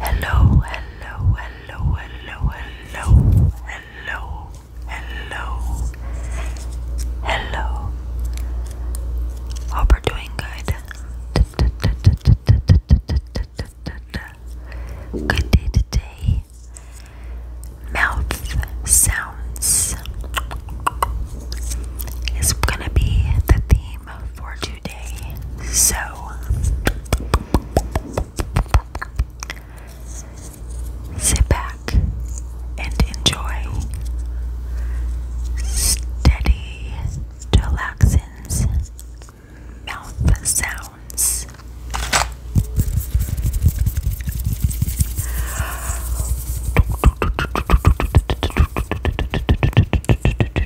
Hello, hello, hello, hello, hello, hello, hello, hello. Hope you're doing good. Good day today. Mouth sounds is gonna be the theme for today. So, sit back and enjoy steady, relaxing mouth sounds.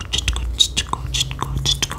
こっちこっちこっちこっちこ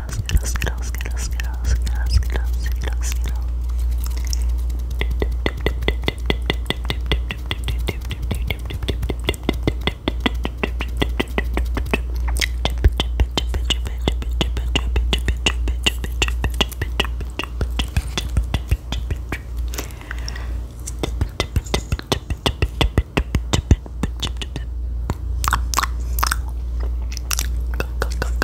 skittles, skittles, skittles, skittles, skittles, skittles, skittles, skittles, skittles. Go, go, go, go,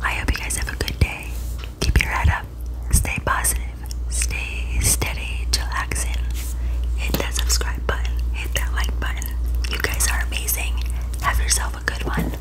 I hope you guys have a good day. Keep your head up. Stay positive. Stay steady, chillaxing. Hit that subscribe button. Hit that like button. You guys are amazing. Have yourself a good one.